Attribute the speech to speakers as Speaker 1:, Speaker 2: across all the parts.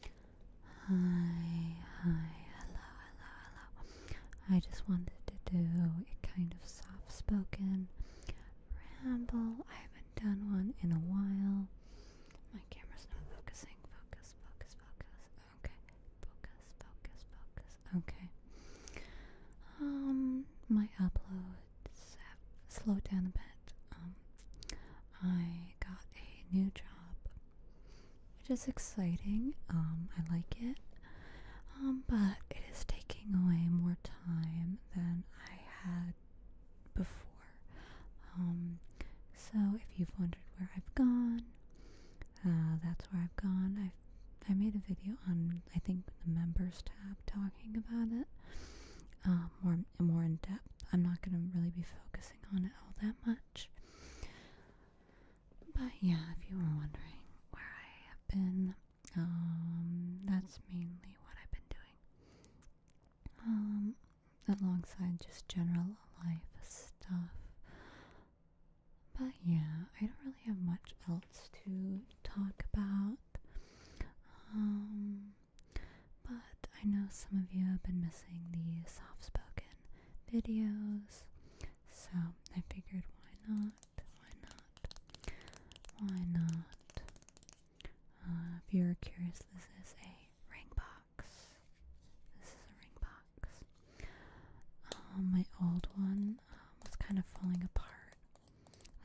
Speaker 1: Hi, hi, hello, hello, hello. I just wanted to do a kind of soft spoken ramble. I haven't done one in a while. My camera's not focusing. Focus, focus, focus. Okay. Focus, focus, focus. Okay. Um, my uploads have slowed down a bit. Um, I got a new job, which is exciting. Um, I like it. Um, but it is taking away more time than I had before. Um, so if you've wondered where I've gone, uh, that's where I've gone. I've I made a video on I think the members tab talking about it um, more more in depth. I'm not gonna really be focused on it all that much. But yeah, if you were wondering where I have been, um, that's mainly what I've been doing. Um, alongside just general life stuff. But yeah, I don't really have much else to talk about. Um, but I know some of you have been missing the soft spoken videos, so I figured why not? Why not? Why not? Uh, if you're curious, this is a ring box. This is a ring box. Um, my old one uh, was kind of falling apart.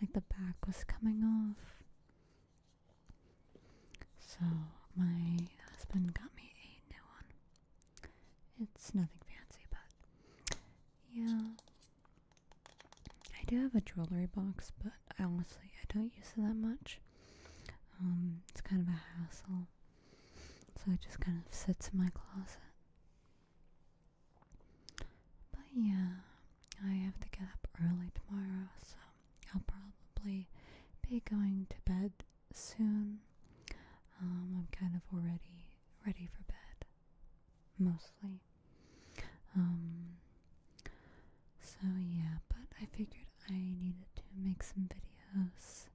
Speaker 1: Like the back was coming off. So my husband got me a new one. It's nothing fancy, but yeah. I do have a jewelry box, but I honestly I don't use it that much. Um, it's kind of a hassle, so it just kind of sits in my closet. But yeah, I have to get up early tomorrow, so I'll probably be going to bed soon. Um, I'm kind of already ready for bed, mostly. Um, so yeah, but I figured I needed to make some videos,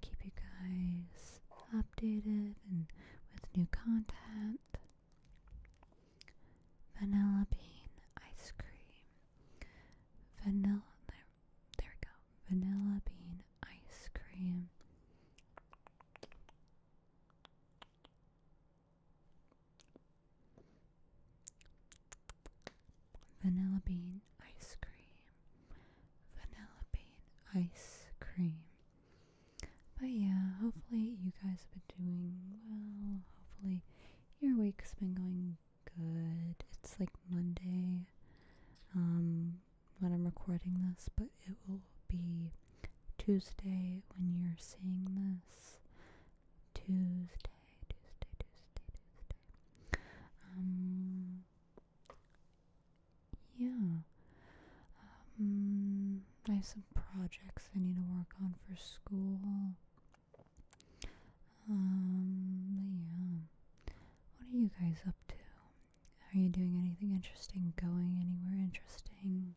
Speaker 1: keep you guys updated and with new content. Vanilla bean ice cream vanilla there, we go vanilla bean ice cream vanilla bean ice cream vanilla bean ice cream but yeah hopefully you guys have been doing well hopefully your week's been going good. It's like Monday um, when I'm recording this, but it will be Tuesday when you're seeing this. Tuesday, Tuesday, Tuesday, Tuesday. Um, yeah. Um, I have some projects I need to work on for school. Um, yeah. What are you guys up to? Are you doing anything interesting? Going anywhere interesting?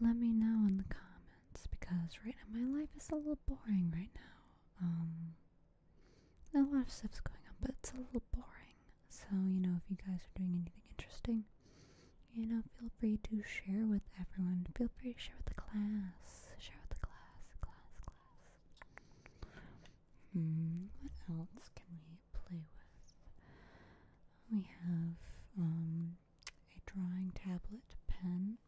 Speaker 1: Let me know in the comments because right now my life is a little boring right now. Um, a lot of stuff's going on, but it's a little boring. So, you know, if you guys are doing anything interesting, you know, feel free to share with everyone. Feel free to share with the class. Share with the class, class, class. Hmm, what else can we play with? We have um, a drawing tablet pen.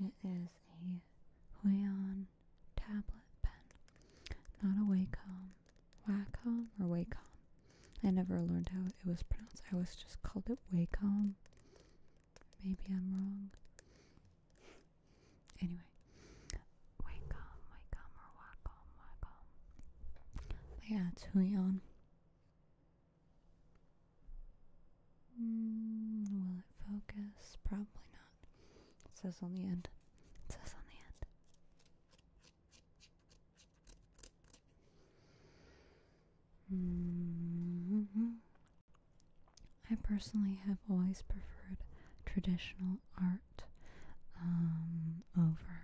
Speaker 1: It is a Huion tablet pen, not a Wacom. Wacom or Wacom? I never learned how it was pronounced. I was just called it Wacom. Maybe I'm wrong. Anyway, Wacom, Wacom, or Wacom, Wacom. yeah, it's Huion. Mm, will it focus? Probably not. It says on the end. It says on the end. Mm-hmm. I personally have always preferred traditional art um, over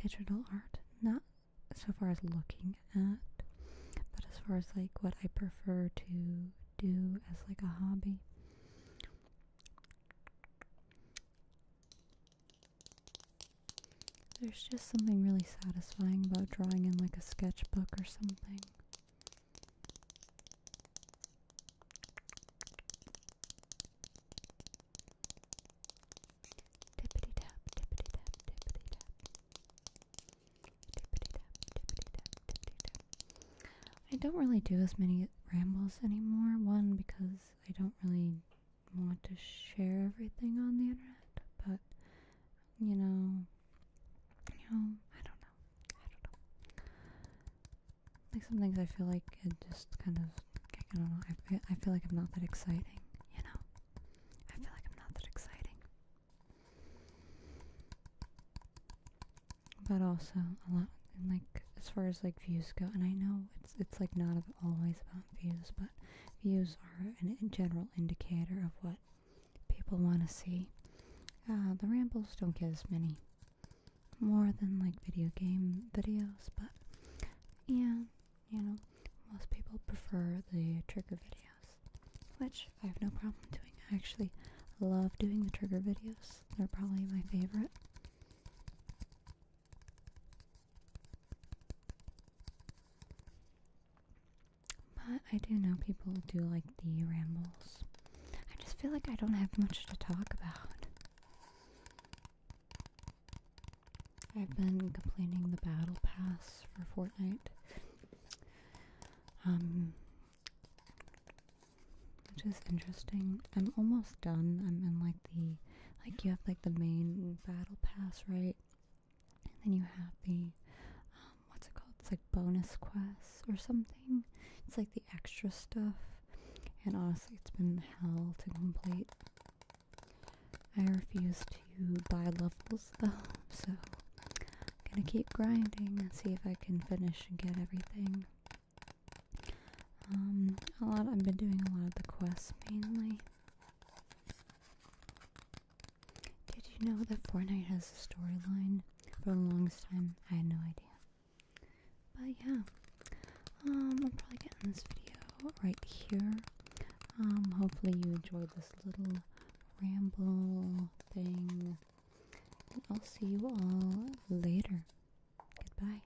Speaker 1: digital art. Not so far as looking at, but as far as like what I prefer to do as like a hobby. There's just something really satisfying about drawing in like a sketchbook or something. I don't really do as many rambles anymore. One, because I don't really want to share everything on the internet, but you know, you know, I don't know. I don't know. Like some things I feel like it just kind of, I don't know, I feel, I feel like I'm not that exciting, you know? I feel like I'm not that exciting. But also, a lot, like, as far as like views go, and I know it's, it's like not always about views, but views are a general indicator of what people want to see. Uh, the rambles don't get as many more than like video game videos, but yeah, you know, most people prefer the trigger videos, which I have no problem doing. I actually love doing the trigger videos, they're probably my favorite. But I do know people do like the rambles. I just feel like I don't have much to talk about. I've been completing the battle pass for Fortnite. Um which is interesting. I'm almost done. I'm in like the like you have like the main battle pass, right? And then you have the um, what's it called? It's like bonus quests or something. It's like the extra stuff. And honestly, it's been hell to complete. I refuse to buy levels though, so I'm gonna keep grinding and see if I can finish and get everything. Um, a lot. I've been doing a lot of the quests mainly. Did you know that Fortnite has a storyline? For the longest time, I had no idea. But yeah, um, I'll probably get in this video right here. Um, hopefully you enjoyed this little ramble thing. And I'll see you all later. Goodbye.